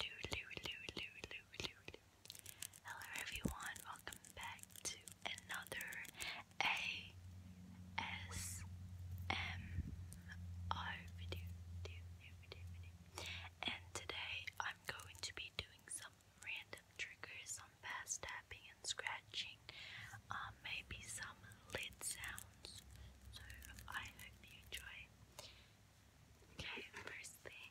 Lou, Lou, Lou, Lou, Lou, Lou, Lou. Hello everyone, welcome back to another ASMR video, video, video, video. And today I'm going to be doing some random triggers, some fast tapping and scratching, um, maybe some lid sounds. So I hope you enjoy. Okay, first thing.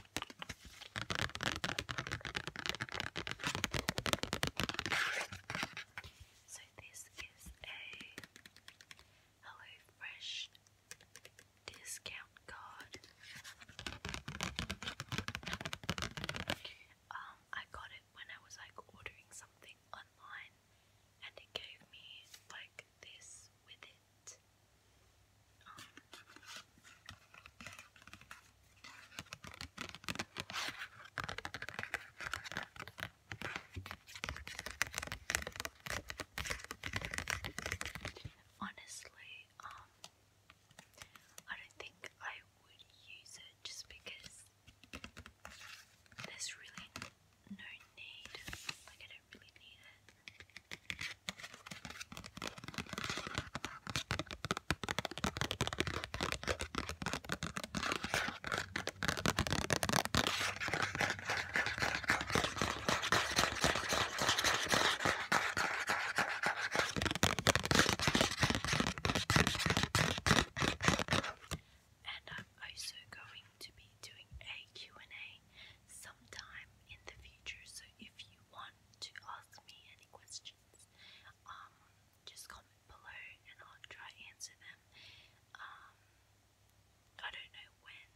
So this is a HelloFresh discount card. Um, I got it when I was like ordering something online and it gave me like this with it. Honestly, um, I don't think I would use it just because there's really no need. Like, I don't really need it. And I'm also going to be doing a Q&A sometime in the future, so if you want to ask me any questions, um, just comment below and I'll try answer them. Um, I don't know when,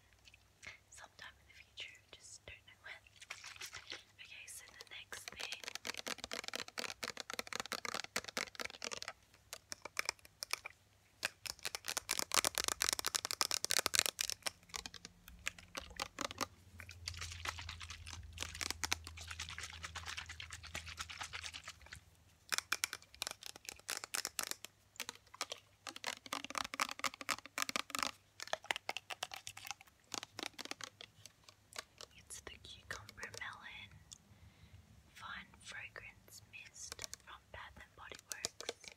sometime in the future, just don't know when. Okay, so the next thing. It's the cucumber melon fun fragrance mist from Bath and Body Works.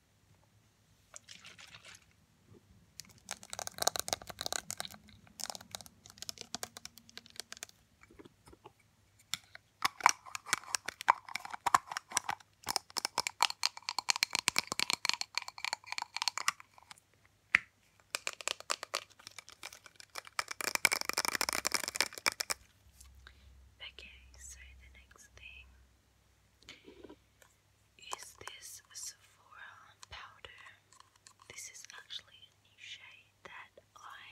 Okay, so the next thing is this Sephora powder. This is actually a new shade that I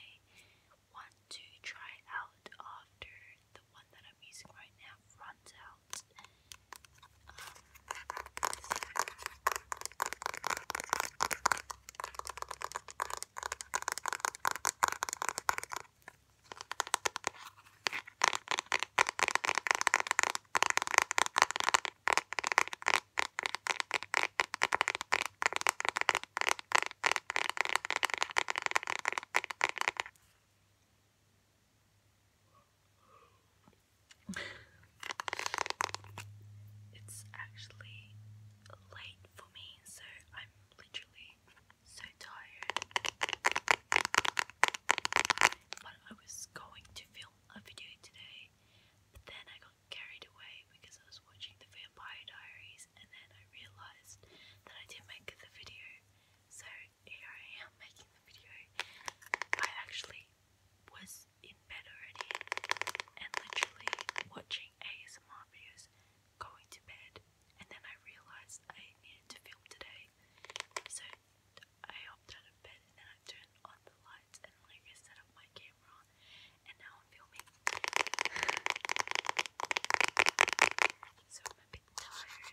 want to try out after the one that I'm using right now runs out. Um, it's actually late for me, so I'm literally so tired. But I was going to film a video today, but then I got carried away because I was watching the Vampire Diaries, and then I realized that I didn't make the video. So here I am making the video. I actually was in bed already and literally watching ASMR videos, going to bed, and then I realised I needed to film today, so I hopped out of bed and then I turned on the lights and like I set up my camera, and now I'm filming. so I'm a bit tired.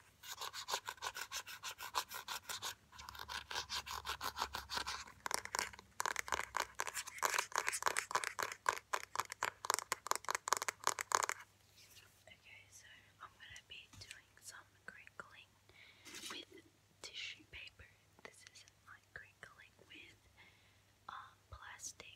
Okay, so I'm gonna be doing some crinkling with tissue paper. This isn't like crinkling with um, plastic.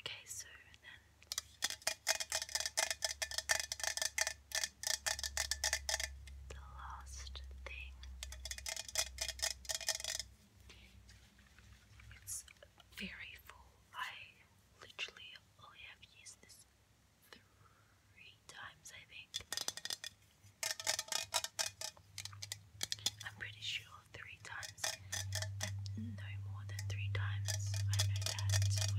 Okay, so then the last thing it's very full. I literally only have used this three times, I think. I'm pretty sure three times. no more than three times. I know that for sure.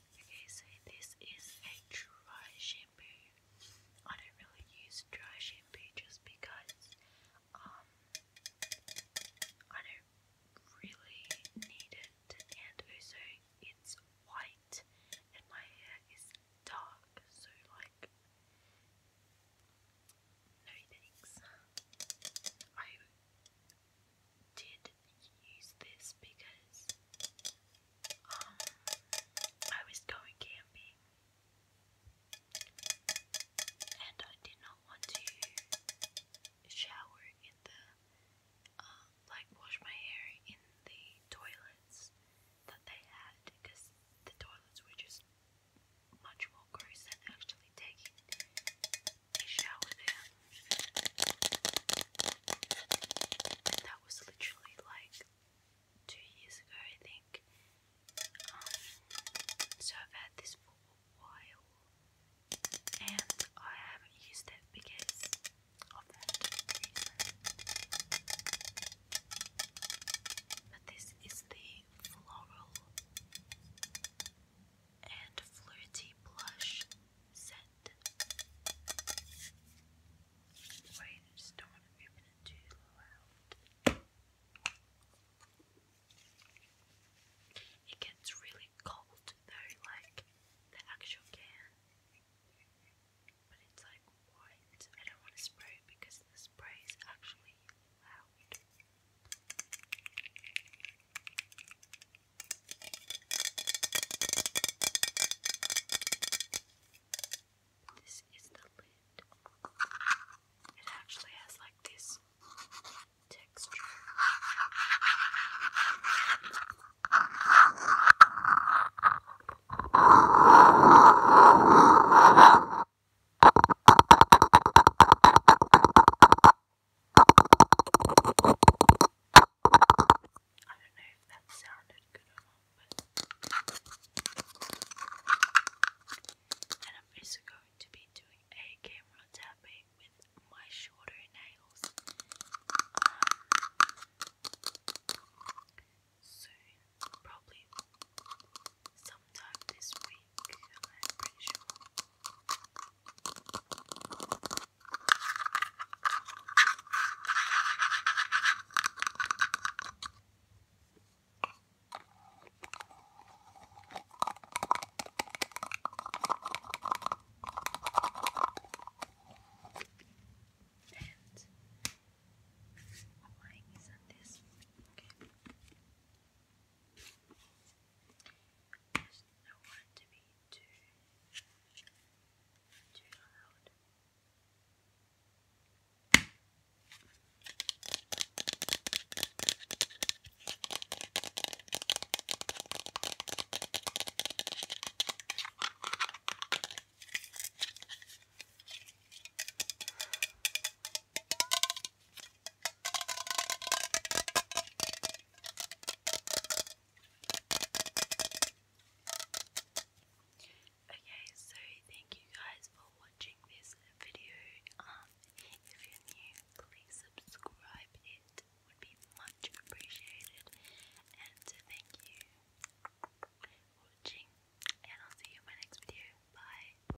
Okay, so this is a dry shampoo. I don't really use dry shampoo just because um I don't really need it and also it's white and my hair is dark so like no thanks. I did use this because um, I was going camping and I did not want to shower in the, uh, like wash my hair in the toilets that they had because the toilets were just much more gross than actually taking I showered that was literally like two years ago, I think. Um, so I've had this for a while, and I haven't used it because of that But this is the floral and Flirty Blush set. Wait, I just don't want to open it too loud. It gets really cold though, like the actual can. But it's like white. I don't want to spray because the spray is actually loud. This is the lid. It actually has like this texture. I don't know if that sounded good or and I'm also going to be doing a camera tapping with my shorter nails um, probably sometime this week. I'm pretty sure. And mine is on this. Okay. Just don't to be too too loud. Okay, so thank you guys for watching this video. Um, if you're new, please subscribe. It would be much appreciated. And thank you for watching. And I'll see you in my next video. Bye.